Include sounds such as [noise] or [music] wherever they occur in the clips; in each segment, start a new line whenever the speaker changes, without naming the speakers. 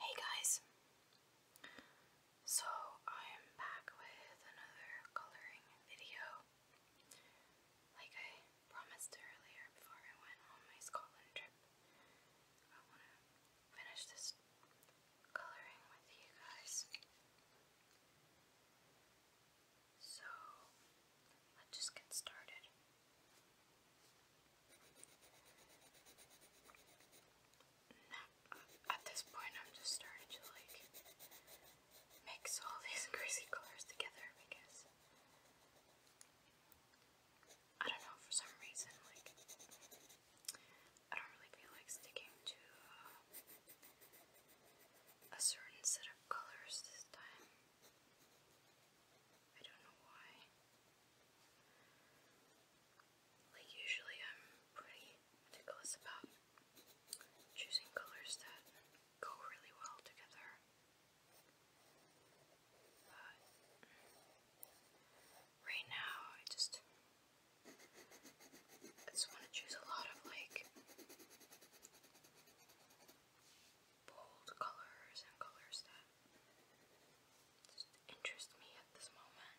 Hey guys! So I'm back with another coloring video. Like I promised earlier before I went on my Scotland trip, I want to finish this coloring with you guys. So let's just get started at this point, I'm just starting to like mix all [laughs] these crazy colors together because I don't know for some reason, like I don't really feel like sticking to uh, a certain set of colors this time. I don't know why. Like, usually I'm pretty meticulous about choosing colors that go really well together. But right now, I just. I just want to choose a lot of like bold colors and colors that just interest me at this moment. I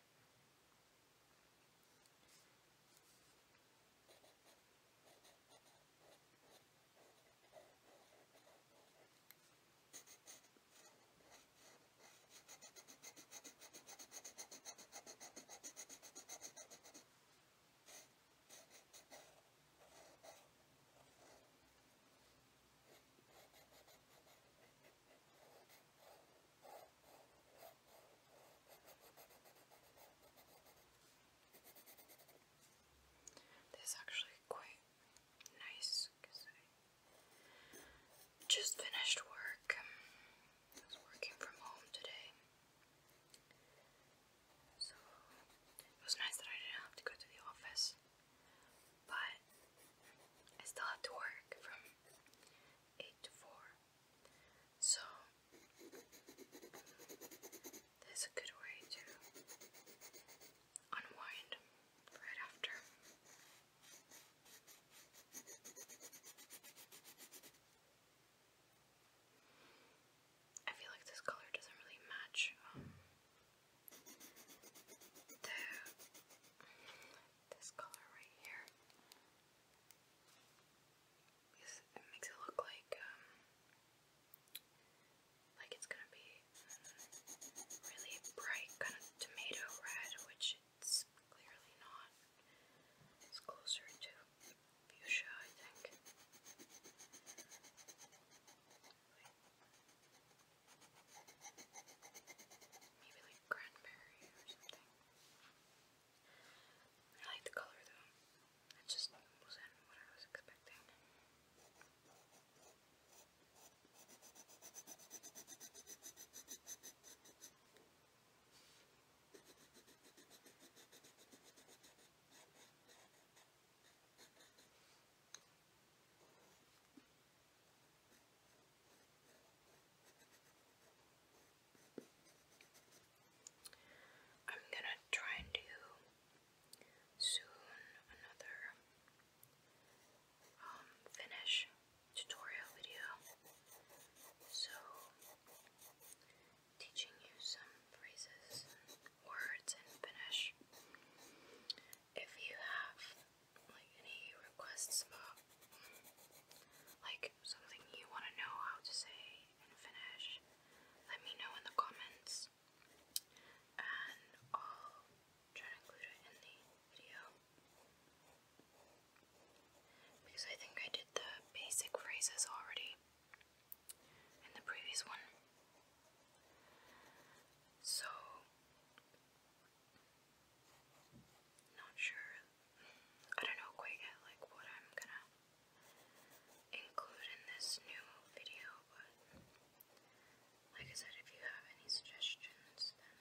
this is actually quite nice because I just finished work. I was working from home today. So it was nice that I didn't have to go to the office, but I still have to work from 8 to 4. So that's a good way to unwind right after. I feel like this color doesn't really match um, this color right here makes it look like um, like it's gonna be really bright kind of tomato red, which it's clearly not. It's closer to fuchsia, I think. Like, maybe like cranberry or something. I like the color though. It just wasn't what I was expecting. I I'm gonna try and do soon another um, finish tutorial video. So teaching you some phrases words in Finnish. If you have like any requests about like something you want to know how to say in Finnish, let me know in the comments and I'll try to include it in the video. Because I think I did the basic phrases already in the previous one. So, not sure. I don't know quite yet, like what I'm gonna include in this new video, but like I said, if you have any suggestions, then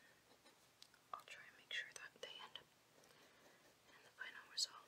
I'll try and make sure that they end up in the final result.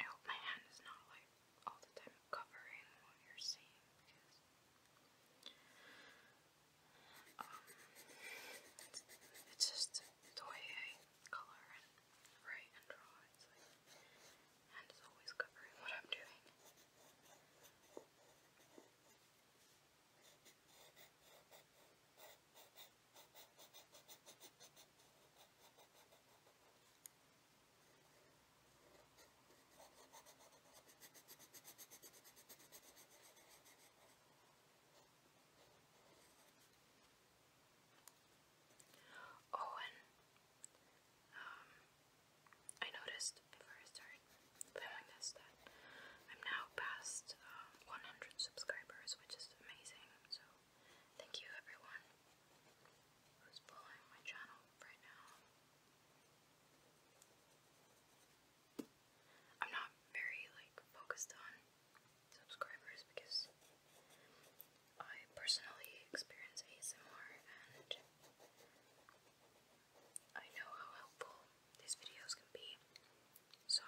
I hope my hand is not like all the time covering what you're seeing um, it's just the way I colour and write and draw. It's like, and it's always covering what I'm doing. I Oh, and um, I noticed before I started filming this that I'm now past uh, um, 100 subscribers, which is amazing. So, thank you everyone who's following my channel right now. I'm not very like focused on subscribers because I personally experience ASMR and I know how helpful these videos can be. So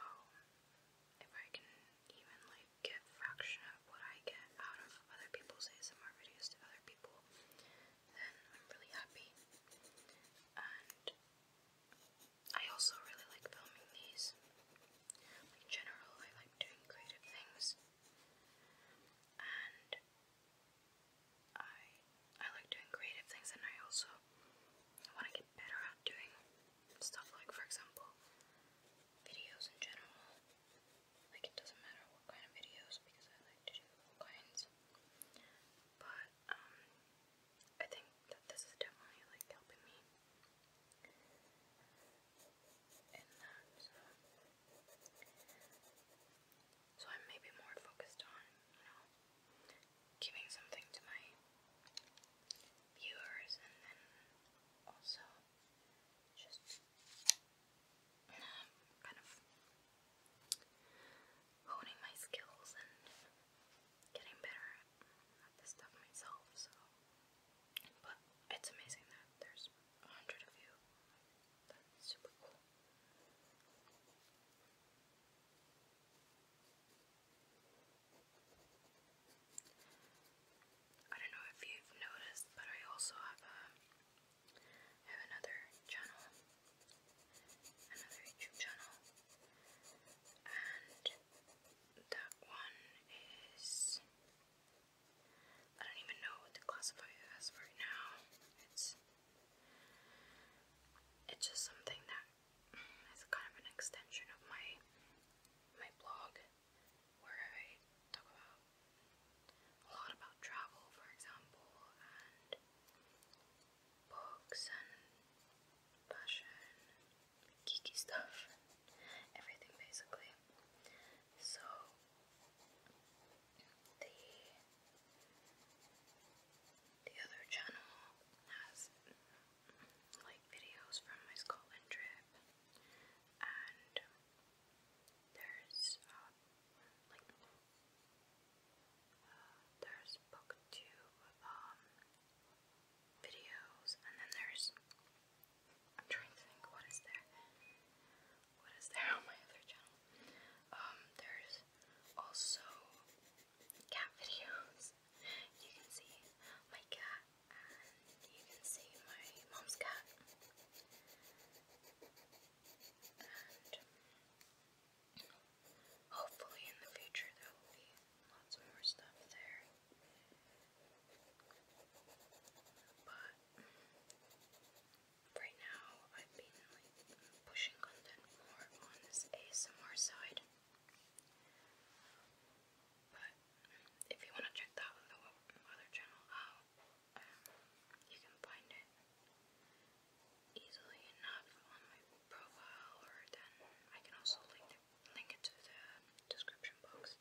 if I can even like get fraction of what I get out of other people's ASMR videos to other people, then I'm really happy. I also really like filming these. In general, I like doing creative things, and I I like doing creative things, and I also want to get better at doing stuff like, for example, videos in general. Like it doesn't matter what kind of videos because I like to do all kinds. But um, I think that this is definitely like helping me in that. Um, so, I'm maybe more focused on, you know, giving something to my viewers and then also just um, kind of honing my skills and getting better at this stuff myself, so but it's amazing that there's a hundred of you. That's super cool. I don't know if you've noticed, but I also have a I have another channel, another YouTube channel and that one is I don't even know what to classify it as right now. It's it's just something that is kind of an extension of my my blog where I talk about a lot about travel, for example, books and fashion, geeky stuff, everything basically. So the the other channel has like videos from my Scotland trip and there's uh, like there's booktube um, videos, and then there's. I'm trying to think what is there. What is there on my other channel? Um, there's also cat videos. You can see my cat, and you can see my mom's cat. Hopefully, in the future, there will be lots more stuff there. But right now, I've been like pushing content more on this ASMR side. But if you want to check that other, channel out, um, you can find it easily enough on my profile, or then I can also link it, link it to the description box.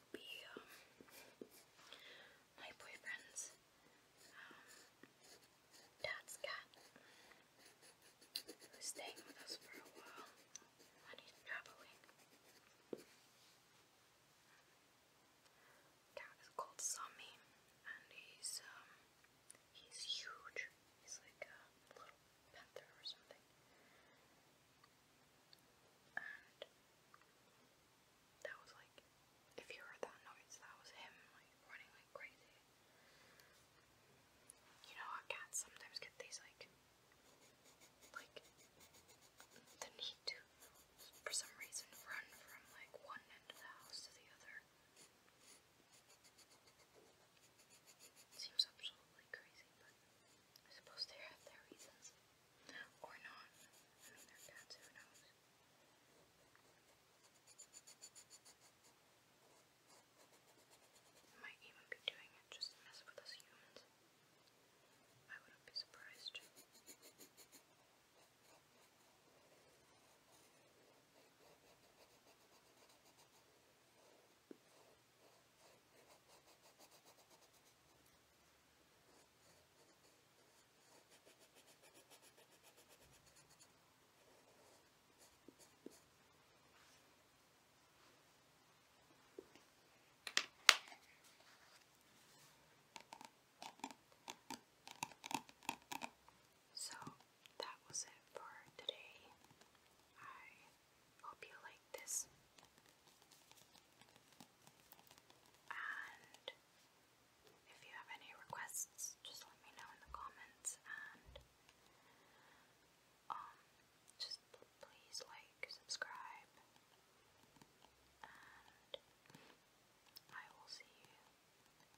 would be um, my boyfriend's um, dad's cat, who's staying with us for a while when he's Cat is called Sammy, and he's um, he's huge. He's like a little panther or something that was like, if you heard that noise, that was him like running like crazy. You know, our cats sometimes get these like, like the need to, for some reason, run from like one end of the house to the other. Seems absolutely crazy, but I suppose they have their reasons. Or not. I mean, they're cats, who knows? They might even be doing it just to mess with us humans. I wouldn't be surprised. So that was it for today. I Hope you like this. And if you have any requests, just let me know in the comments and um just please like, subscribe, and I will see you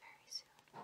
very soon.